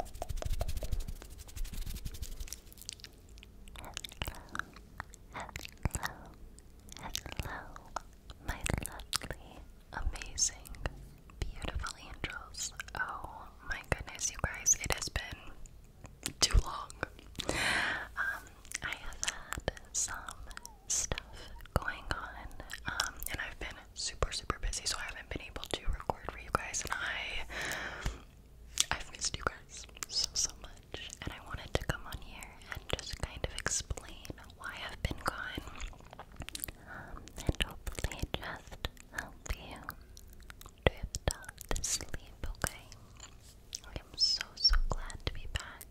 hello, hello, my lovely, amazing, beautiful angels. Oh my goodness, you guys, it has been too long. Um, I have had some stuff going on, um, and I've been super, super busy, so I haven't been able to record for you guys, and I, I've missed you guys so, so much, and I wanted to come on here and just kind of explain why I've been gone, and hopefully just help you drift off to sleep, okay? I am so, so glad to be back.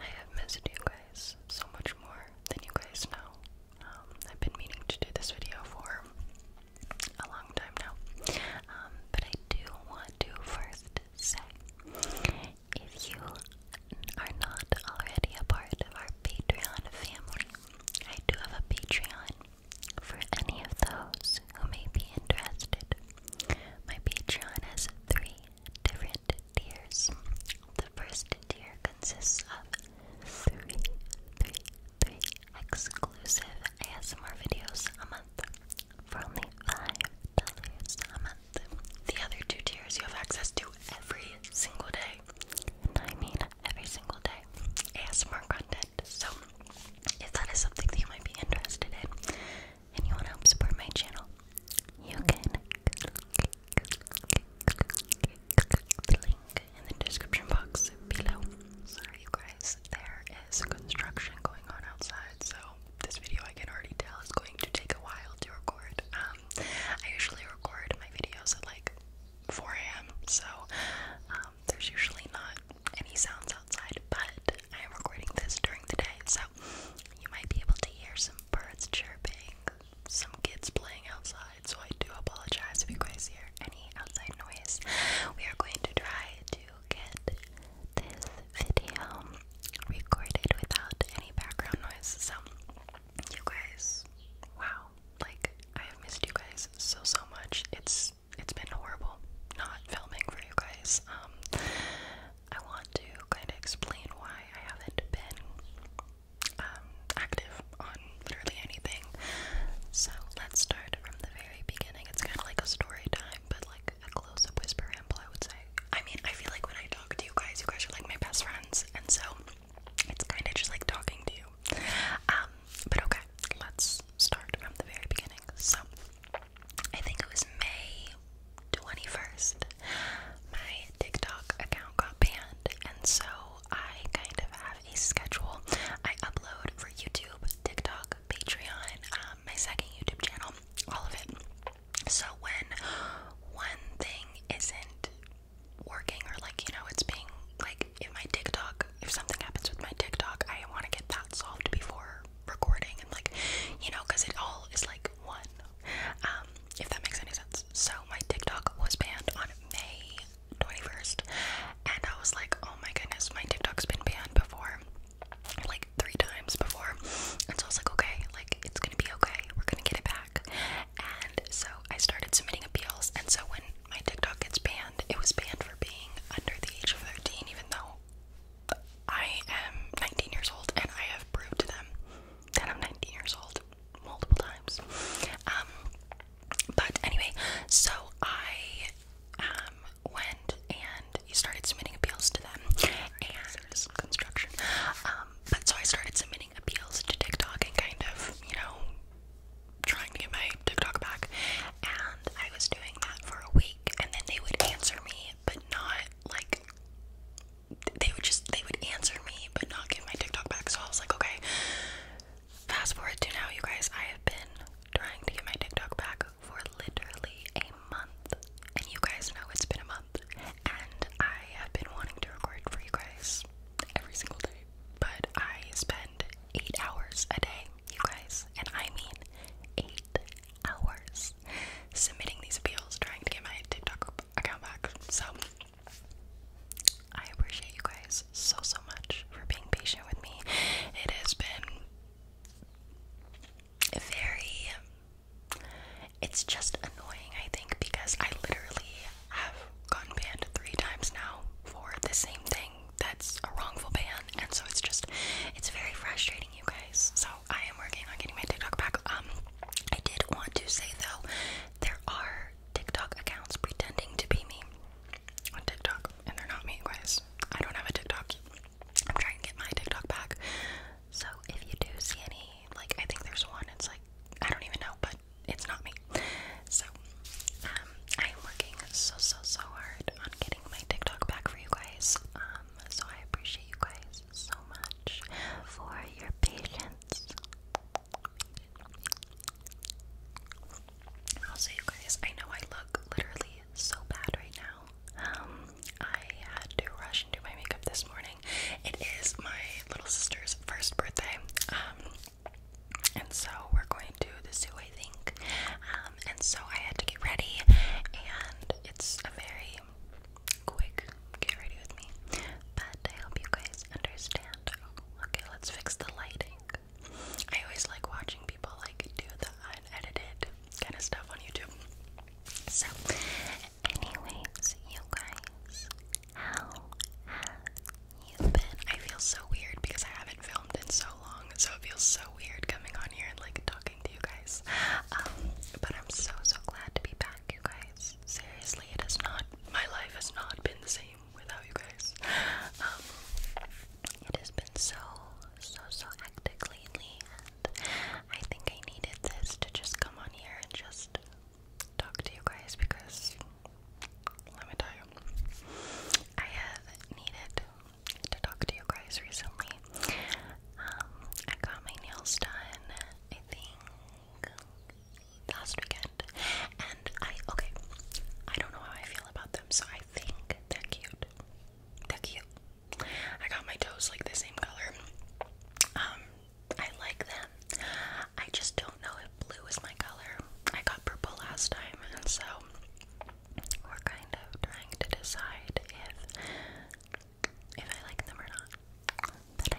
I have missed you guys so much more than you guys know. Um, I've been meaning to do this video for a long time now. Um, but I do want to first say if you are not already a part of our Patreon family, I do have a Patreon for any of those who may be interested. My Patreon has three different tiers. The first tier consists of three, three, three exclusive ASMR videos a month for only $5 a month. The other two tiers you have access to every single day. And I mean every single day. ASMR content. So if that is something that you might be interested in and you want to help support my channel, you can click in the description box below. Sorry, you guys, there is construction going on outside, so this video I can already tell is going to take a while to record. Um, I usually record my videos at like 4 a.m., so um, there's usually not any sounds outside, but I am recording this during the day, so you might be able to hear some birds chirping, some kids playing outside, so I do apologize if you guys hear any outside noise. We are going to try to get this video recorded without any background noise. So, you guys, wow, like I have missed you guys so so much. It's it's been horrible not filming for you guys. Um, I want to kind of explain why I haven't been um, active on literally anything. So let's start from the very beginning. It's kind of like a story time, but like a close up whisper ramble, I would say. I mean, I feel like when I talk to you guys, you guys are like my best friends, and so it's kind of just like talking to you. Um, but okay, let's start from the very beginning. So I think it was May 21st. My TikTok account got banned, and so I kind of have a schedule. I upload for YouTube, TikTok, Patreon, um, my second YouTube channel, all of it. So when one thing isn't working or like you know it's being like if my TikTok, if something happens with my TikTok, I want to get that solved before recording and like you know because it all is like one. Um, if that makes any sense. So my TikTok was banned on May 21st, and I was like, oh my goodness, my TikTok's been banned before, like three times before, and so I was like, okay, like it's gonna be okay, we're gonna get it back, and so I started submitting appeals, and so when my TikTok gets banned, it was banned for being under the age of 13, even though I am 19 years old and I have proved to them that I'm 19 years old multiple times. Um, but anyway, so I um, went and started submitting appeals to them and construction. Um, but so I started submitting appeals to TikTok and kind of, you know, trying to get my TikTok back. And I was doing that for a week, and then they would answer me, but not like they would just they would answer me but not get my TikTok back. So I was like, okay. Fast forward to now, you guys. I have been trying to get my TikTok back for literally a month, and you guys know it's been a month. And I have been wanting to record for you guys every single day, but I spend eight hours a day, you guys, and I mean eight hours submitting these appeals, trying to get my TikTok account back. So I appreciate you guys so, so much for being patient with me. It has been very. It's just annoying, I think, because I literally have gone banned three times now for the same thing that's a wrongful ban. And so it's just, it's very frustrating, you guys. So I am working on getting my TikTok back. Um, I did want to say though, there are TikTok accounts pretending to be me on TikTok, and they're not me, guys. I don't have a TikTok. I'm trying to get my TikTok back. So if you do see any, like I think there's one. It's like I don't even know, but it's not me. So um, I am working so so so hard on getting my TikTok back for you guys. Um, so I appreciate you guys so much for your patience. I'll Also, you guys, I know I look literally so bad right now. Um, I had to rush and do my makeup this morning. It is my little sister's first birthday. Um, and so we're going to the zoo, I think. Um, and so I had to get ready, and it's a very quick get ready with me. But I hope you guys understand Oh, okay, let's fix the lighting. I always like watching people like do the unedited kind of stuff on YouTube. So, anyways, you guys, how have you been? I feel so weird because I haven't filmed in so long, so it feels so weird coming on here and like talking to you guys. Um, but I'm so so glad to be back, you guys. Seriously, it has not, my life has not been the same without you guys. Um, it has been so, so, so hectic lately, and I think I needed this to just come on here and just talk to you guys because let me tell you, I have needed to talk to you guys recently. Um, I got my nails done, I think last weekend, and I okay. I don't know how I feel about them, so I think they're cute. They're cute. I got my toes like the same color. Um, I like them. I just don't know if blue is my color. I got purple last time, and so we're kind of trying to decide if if I like them or not. I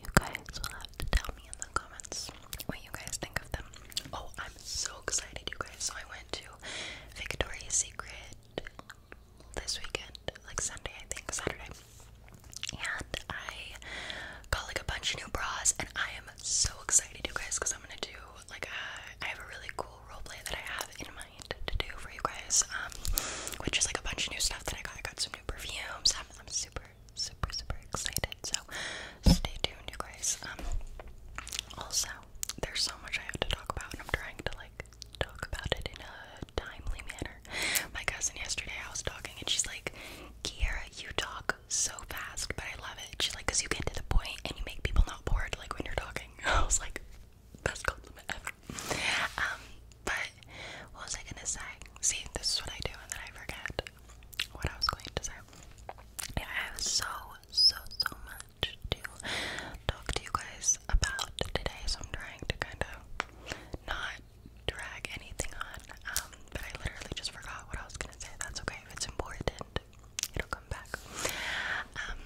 you guys will have to tell me in the comments what you guys think of them. Oh, I'm so excited, you guys. So I went to Victoria's Secret this weekend, like Sunday, I think, Saturday. And I got like a bunch of new bras, and I am so excited, you guys, because I'm gonna do like a, I have a really cool role play that I have in my mind to do for you guys, um, which is like a bunch of new stuff that I got. I got some new perfumes. am I'm super, super, super excited. So stay tuned, you guys. Um, also, there's so much I have to talk about, and I'm trying to like talk about it in a timely manner. My cousin yesterday, I was talking, and she's like, "Kiara, you talk so fast, but I love it." She's like, "Cause you get to the point, and you make people not bored, like when you're talking." I was like best compliment ever. Um, but what was I gonna say? See, this is what I do, and then I forget what I was going to say. Yeah, I have so, so, so much to talk to you guys about today, so I'm trying to kind of not drag anything on. Um, but I literally just forgot what I was gonna say. That's okay if it's important, it'll come back. Um,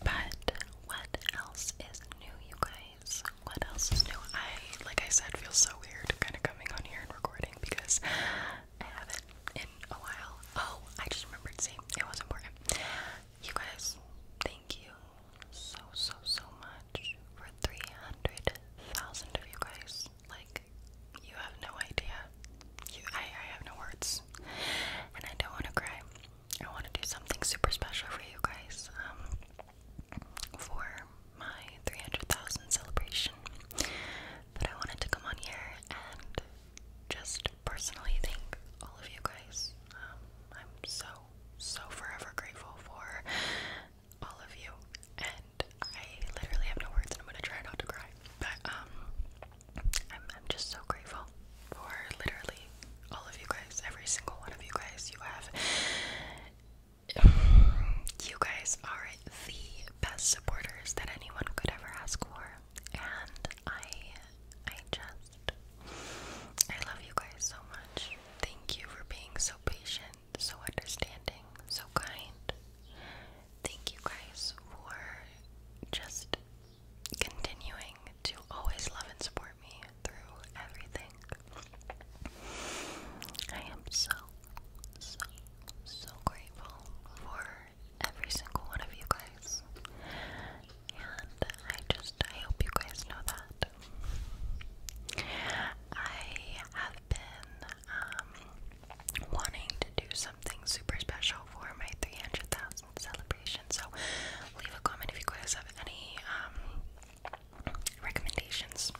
but what else is new, you guys? What else is new? I, like I said, feel so weird kind of coming on here and recording because I haven't in a while. Oh, I just remembered, see, it was important. You guys, thank you so, so, so much for 300,000 of you guys. Like, you have no idea. You, I, I have no words. And I don't want to cry. I want to do something super special for you guys um, for my 300,000 celebration. But I wanted to come on here and just personally thank all of you guys. Um, I'm so, so forever grateful for all of you, and I literally have no words, and I'm gonna try not to cry. But um, I'm, just so grateful for literally all of you guys, every single one of you guys. You have, you guys are the best supporters that anyone could ever ask for, and I, I just, I love you guys so much. Thank you for being so patient, so understanding, so kind. Thank you guys for just continuing to always love and support me through everything. I am so, so, so grateful for every single one of you guys. And I just, I hope you guys know that. I have been um, wanting to do something super special for my 300,000 celebration. So leave a comment if you guys have any um, recommendations.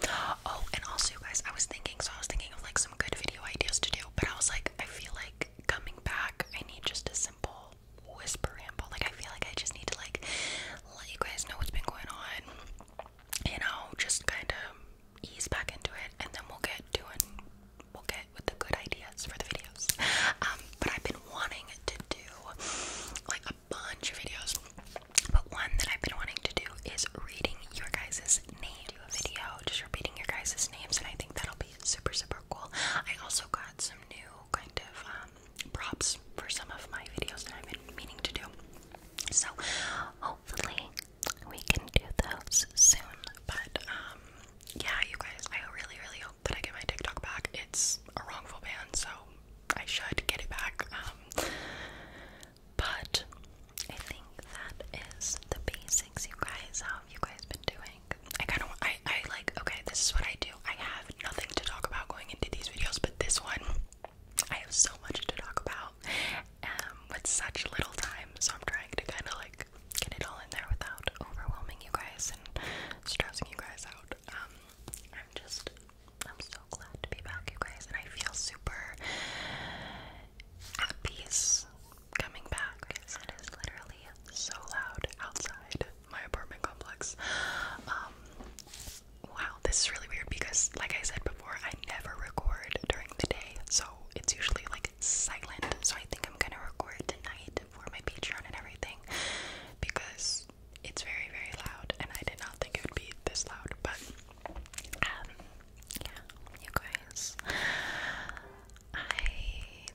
Oh, and also, you guys, I was thinking, so I was thinking of like some good video ideas to do, but I was like, I feel like coming back, I need just a simple whisper ramble. Like, I feel like I just need to like let you guys know what's been going on, you know, just kind of ease back into it, and then we'll get doing we'll get with the good ideas for the videos. Um, but I've been wanting to do like a bunch of videos, but one that I've been wanting to do is reading your guys' name. video just repeating your guys' names, and I think that'll be super super cool. I also got some new kind of um, props for some of my videos that I've been meaning to do. So hopefully we can do those soon. But um, yeah you guys I really really that I get my TikTok back, it's a wrongful ban, so I should get it back. Um, but I think that is the basics, you guys. How have you guys been doing? I kind of, I, I like, okay, this is what I do. I have nothing to talk about going into these videos, but this one, I have so much to talk about um, with such little time, so I'm trying to kind of like like get it all in there without overwhelming you guys and stressing you guys out. Um, I'm just, I'm so glad to be back, you guys, and I feel super at peace coming back because it is literally so loud outside my apartment complex. Um, wow, this is really weird because, like I said before, I never record during the day, so it's usually like silent. So I think I'm gonna record tonight for my Patreon and everything because it's very, very loud, and I did not think it would be this loud. But um, you guys, I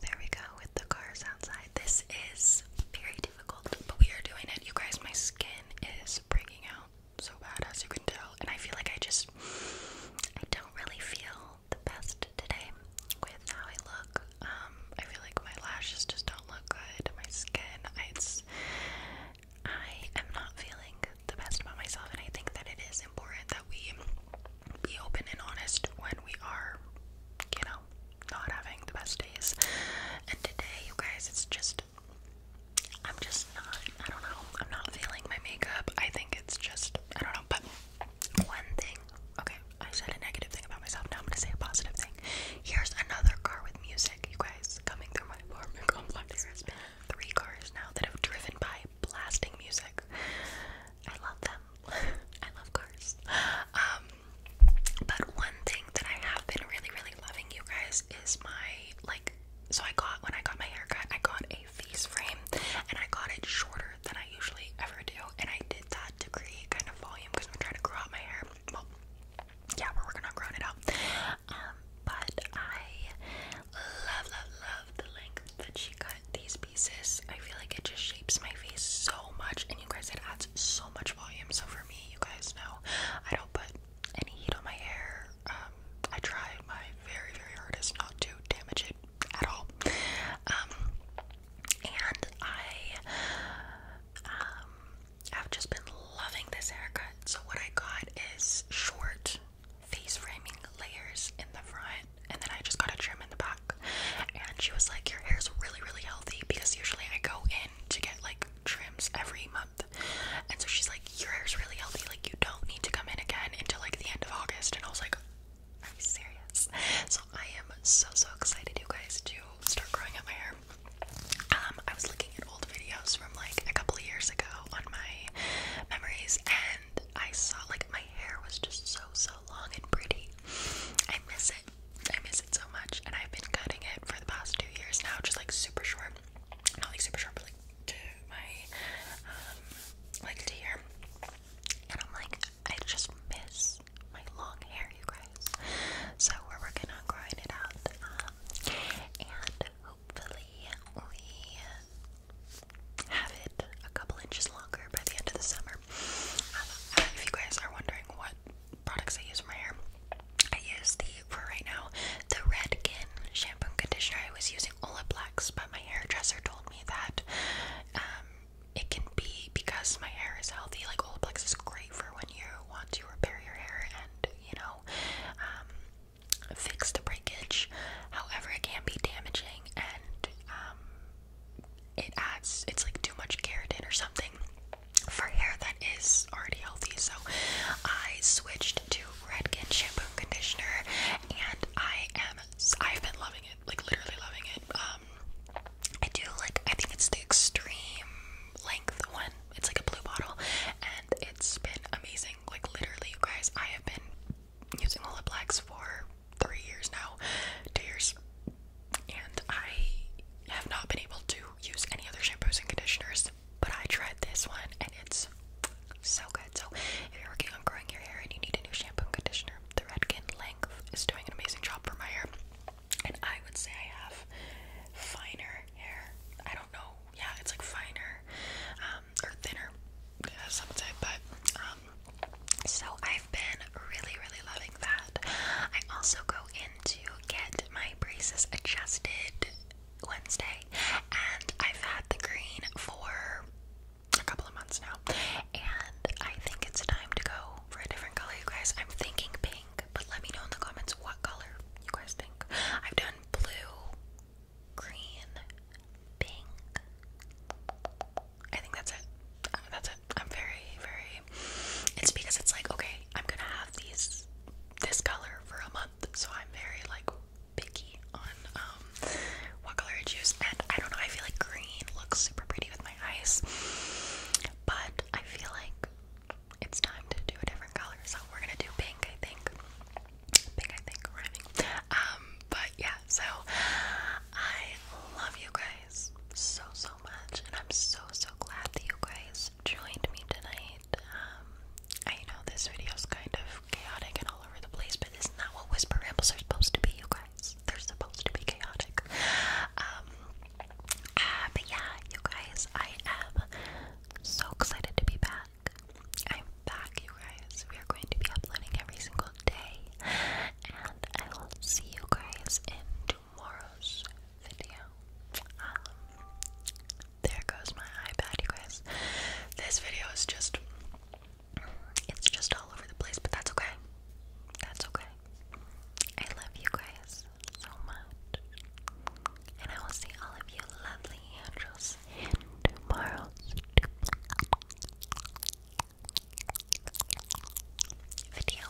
there we go with the cars outside. This is very difficult, but we are doing it. You guys, my skin is breaking out so bad as you can tell, and I feel like I just I don't really feel the best today with how I look. Um, I feel like my lashes just don't look good. My skin, it's, I am not feeling the best about myself, and I think that it is important that we be open and honest when we are, you know, not having the best days. And today, you guys, it's just. I'm just not, I don't know, I'm not feeling my makeup. I think it's just, I don't know, but one thing. Okay, I said a negative thing about myself. Now I'm gonna say a positive thing. Here's another car with music, you guys, coming through my apartment There has been three cars now that have driven by blasting music. I love them. I love cars. Um, but one thing that I have been really, really loving, you guys, is my like. So I got when I got my haircut, I got a face frame and I got it shorter than I usually ever do and I did that to create kind of volume because I'm trying to grow out my hair. Well, yeah, we're working on growing it out. Um, but I love, love, love the length that she cut these pieces. I feel like it just shapes my face so much, and you guys, it adds so much volume. So for me, you guys know, I don't put any heat on my hair. Um, I try my very, very hardest not to damage it at all. Um, and I um, have just been loving this haircut. So what I got is short face framing layers in the front, and then I just got a trim in the back. And she was like, "Your hair's really, really healthy because usually I go in to get like trims every month." And so she's like, "Your hair's really healthy. Like you don't need to come in again until like the end of August." And I was like, are you serious? So I am so so excited, you guys, to start growing out my hair. Um, I was looking at old videos from like a couple of years ago on my memories, and I saw like my hair was just so so long and pretty. I miss it. I miss it so much, and I've been cutting it for the past two years now, just like super short. Not like super short, but like to my um like to here and I'm like, I just miss my long hair, you guys. So we're working on growing it out, um, and hopefully we have it a couple inches longer by the end of the summer. Um, if you guys are wondering what products I use for my hair, I use the for right now the Redken shampoo and conditioner. I was using Olaplex but my hairdresser told me that um, it can be because my hair is healthy. Like Olaplex is great for when you want to repair your hair and you know um, fix the breakage. However, it can be damaging and um, it adds it's like too much keratin or something for hair that is already healthy. So I switched to Redken shampoo conditioner, and I am I've been loving it like literally loving it. Um, I do like, I think it's the extreme length one. It's like a blue bottle, and it's been amazing. Like literally, you guys, I have been using Olaplex for three years now, two years, and I have not been able to use any other shampoos and conditioners. But I tried this one, and it's so good. So if you're working on growing your hair and you need a new shampoo conditioner, the Redken Length is doing an amazing job for my hair. And I would say I have finer hair. I don't know. Yeah, it's like finer um, or thinner, as some would say. But um, so I've been really, really loving that. I also go in to get my braces adjusted Wednesday, and I've had the green for a couple of months now, and I think it's time to go for a different color, you guys. I'm thinking pink, but let me know in the comments what color you guys think. I've done blue, green, pink. I think that's it. Uh, that's it. I'm very, very. It's because it's like okay, I'm gonna have these this color for a month, so I'm very like picky on um what color I choose and I don't know, I feel like green looks super pretty with my eyes. But I feel like it's time to do a different color, so we're gonna do pink, I think. Pink, I think, rhyming. Um, but yeah, so I love you guys so so much and I'm so so glad that you guys joined me tonight. Um I know this video's kind of chaotic and all over the place, but isn't that what whisper rambles are supposed to be, you guys? They're supposed to be chaotic. Um, uh, but yeah, you guys, I am so excited to be back. I'm back, you guys. We are going to be uploading every single day, and I will see you guys in tomorrow's video. Um, there goes my iPad, you guys. This video is just it's just all over the place, but that's okay. That's okay. I love you guys so much. And I will see all of you lovely angels in tomorrow's video.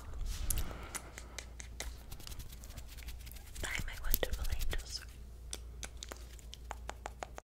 Bye, my wonderful angels.